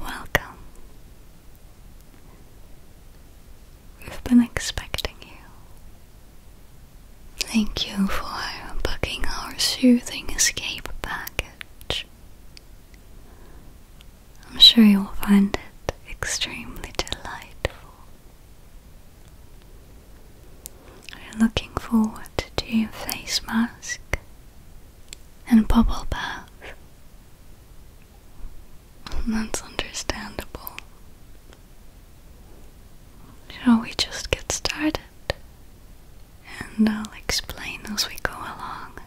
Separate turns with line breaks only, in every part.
Welcome. We've been expecting you. Thank you for booking our soothing escape package. I'm sure you'll find it extremely delightful. We're looking forward to face mask and bubble bath. That's understandable. Shall we just get started? And I'll explain as we go along.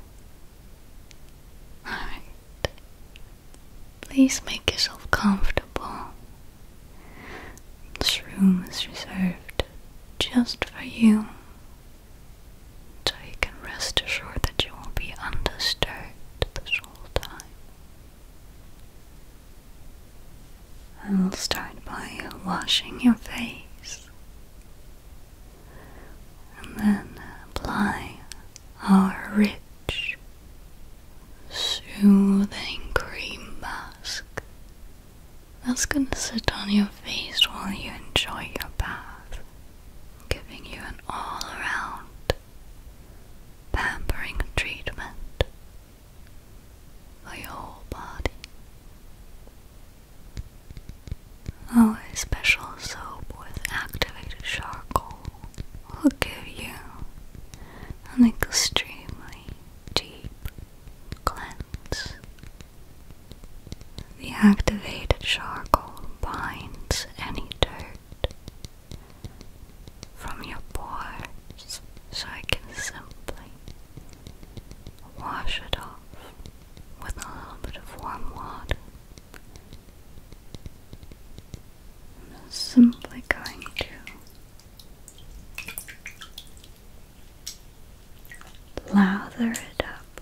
Alright. Please make yourself comfortable this room is reserved just for you, so you can rest assured that you will be undisturbed this whole time. I will start by washing your face and then apply our rich, soothing cream mask that's gonna sit on your face while you enjoy your bath, giving you an all around pampering treatment for your body. Our oh, special soap with activated charcoal will give you an extremely deep Cleanse. The activated charcoal binds any dirt from your pores so I can simply wash it off with a little bit of warm water. I'm simply going to Lather it up.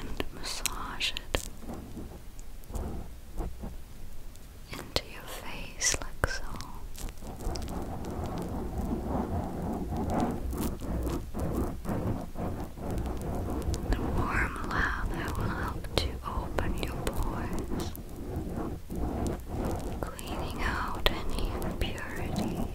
and massage it into your face like so. The warm lather will help to open your pores, cleaning out any impurities.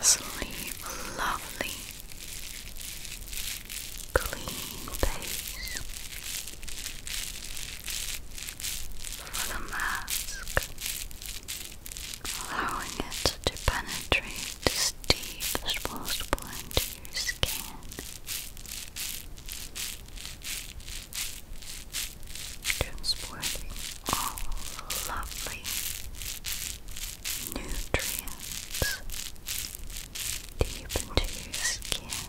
Sleep lovely, clean face for the mask allowing it to penetrate as deep as possible into your skin. Transporting all lovely nutrients deep into your skin.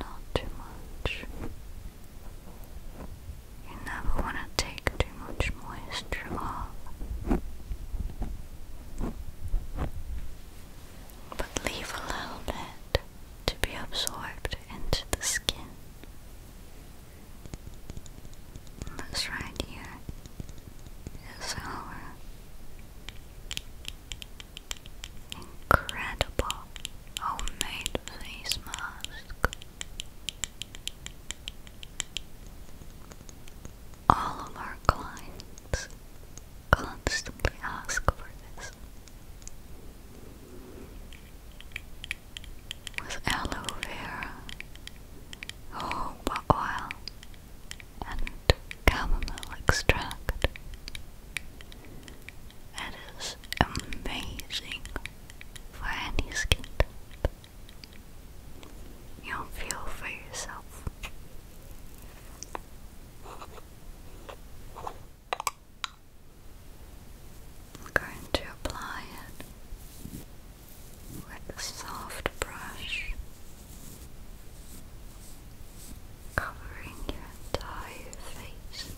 Not too much. You never want to take too much moisture off. But leave a little bit to be absorbed into the skin. this right here is our Incredible homemade face mask. All of our clients constantly ask for this. With aloe vera, jojoba oh, oil, and chamomile extract. It is amazing for any skin You'll feel for yourself. I'm going to apply it with a soft brush covering your entire face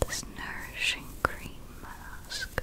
with this nourishing cream mask.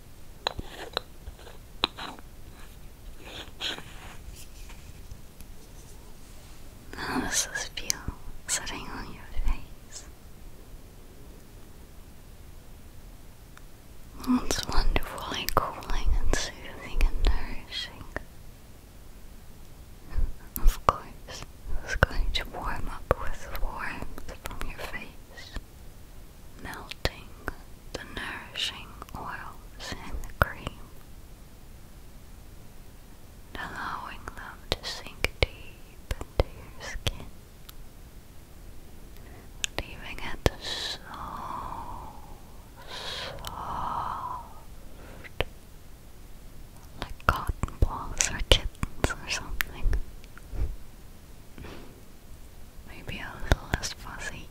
How does this feel sitting on your face? It's wonderfully cooling and soothing and nourishing. Of course, it's going to warm up with warmth from your face melting the nourishing oils and the cream, allowing them to sink deep into your skin, leaving it soft, like cotton balls or kittens or something maybe a little less fuzzy.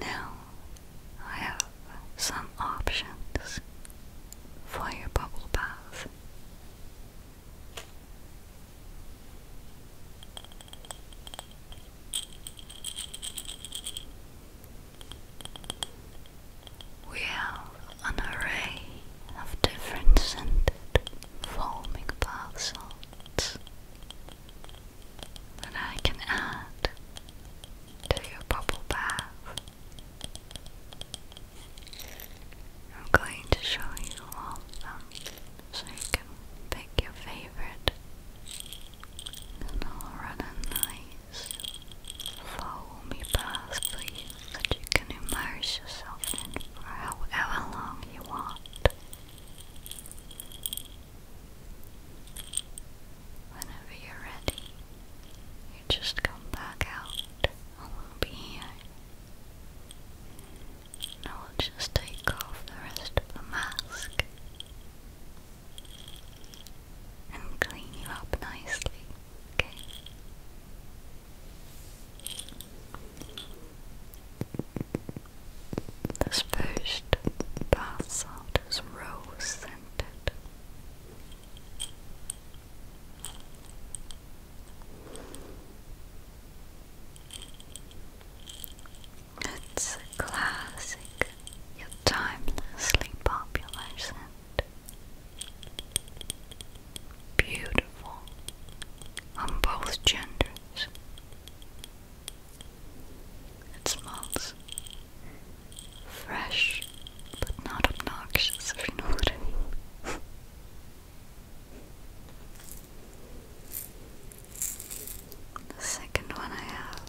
Now I have some options for your bubble bath. We have an array of different scented foaming bath salts that I can add to your bubble bath. I'm going to show you all of them so you can pick your favorite and I'll run a nice foamy bath for that you can immerse yourself in for however long you want. Whenever you're ready, you just come back out and will be here. Now we'll just take off the rest of the mask and clean you up nicely, okay? This first bath salt is rose scented. It's a classic yet timelessly popular scent beautiful on both genders. It smells fresh but not obnoxious, if you know the second one I have.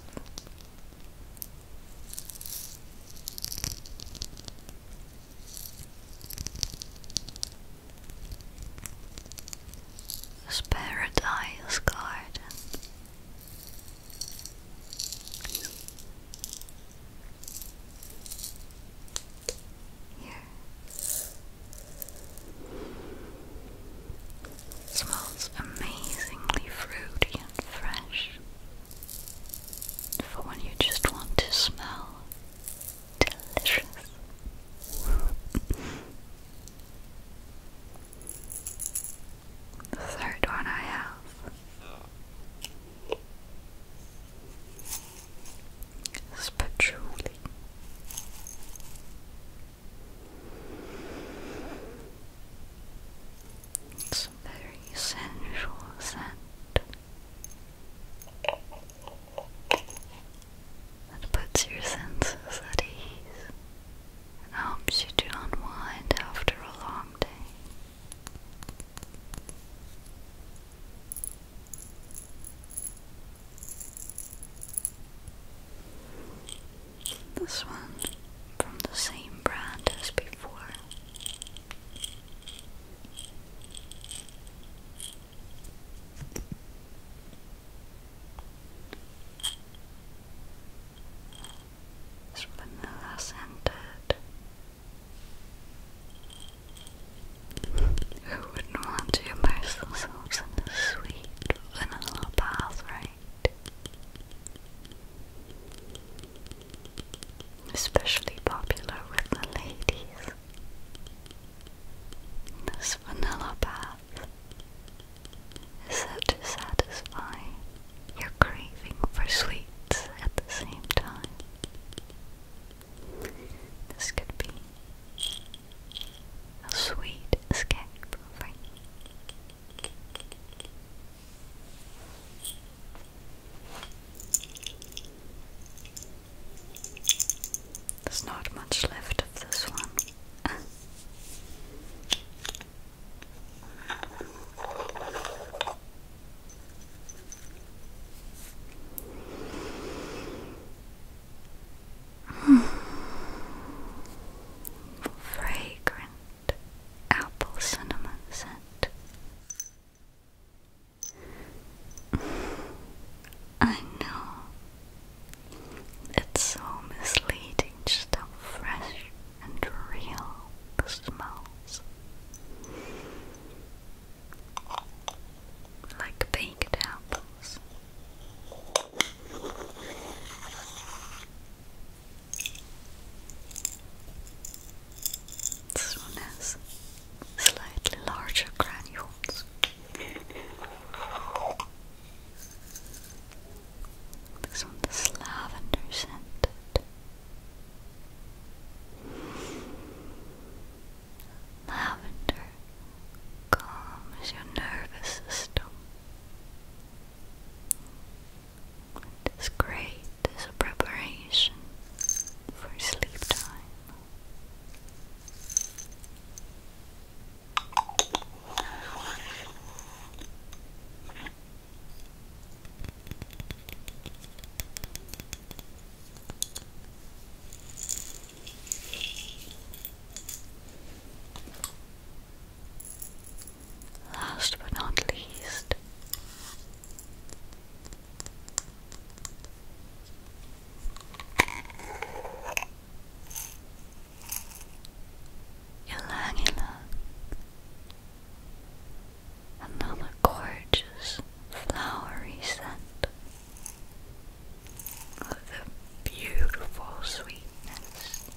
This paradise garden. Here. smells amazingly fruity and fresh. For when you just want to smell Delicious. the third one I have. It's patchouli. It's very sensual scent. That puts your senses at ease helps you to unwind after a long day. This one from the same brand as before vanilla scented. Who wouldn't want to immerse themselves in the sweet vanilla bath, right? Especially popular with the ladies. This vanilla bath is set to satisfy your craving for sweets at the same time. This could be a sweet escape there's not much left of this one. Fragrant apple cinnamon scent. I know. It's so misleading, just how fresh and real the smells. Like baked apples. This one has slightly larger granules. This one is lavender scented. Lavender calms your nervous system. It is great as a preparation for sleep time. Last but not least, Ilang Ilang, another gorgeous flowery scent of the beautiful sweetness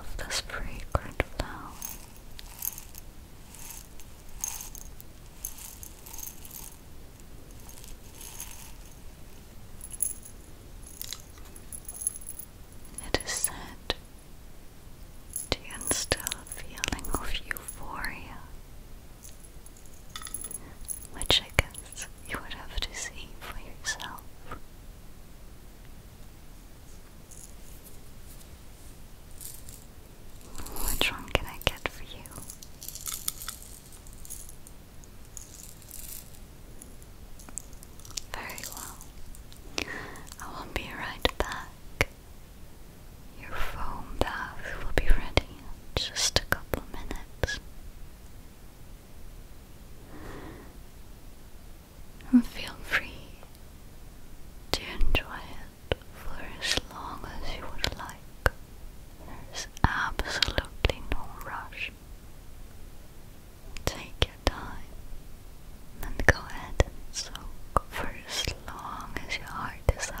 of this fragrant flower. It is said to instill a feeling of euphoria, which I guess you would have to see for yourself. Which one can I get for you? Very well. I will be right back. Your foam bath will be ready in just a couple minutes. Feel free to enjoy it for as long as you would like. There's absolutely no rush. Take your time and go ahead and soak for as long as your heart desires.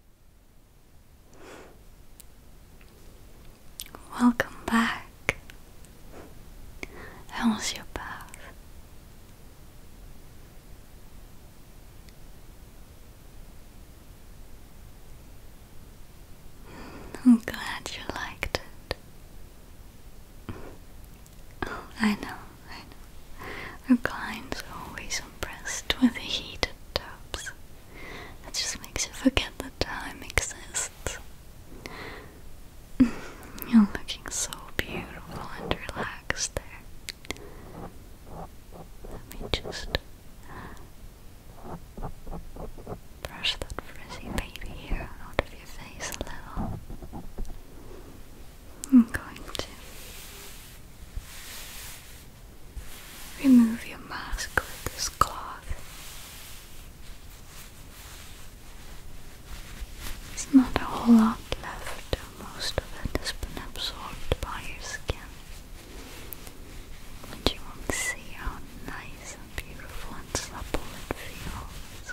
Welcome back. How was your bath? I'm glad you liked it. I know, I know. Our clients are always impressed with the heated tubs. That just makes you forget that time exists. You're looking so beautiful and relaxed there. Let me just brush that frizzy baby hair out of your face a little. I'm going to Remove your mask with this cloth. There's not a whole lot left, most of it has been absorbed by your skin. and you won't see how nice and beautiful and supple it feels.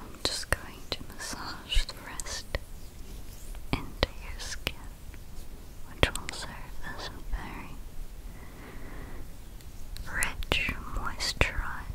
I'm just going to massage the rest into your skin, which will serve as a very rich moisturizer.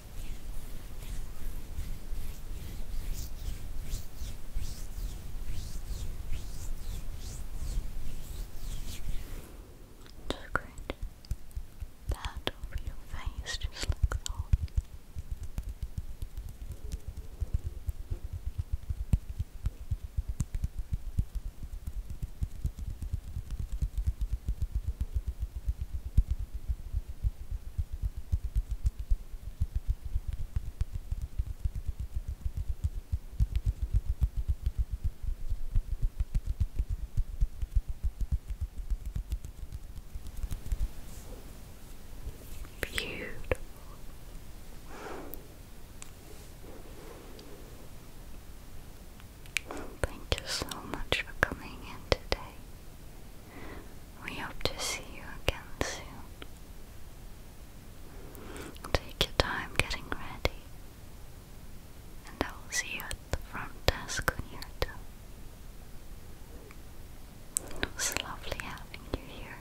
Just great. That over your face, just like so. Beautiful. Thank you so much for coming in today. We hope to see you again soon. Take your time getting ready, and I will see you at the front desk when you're It was lovely having you here.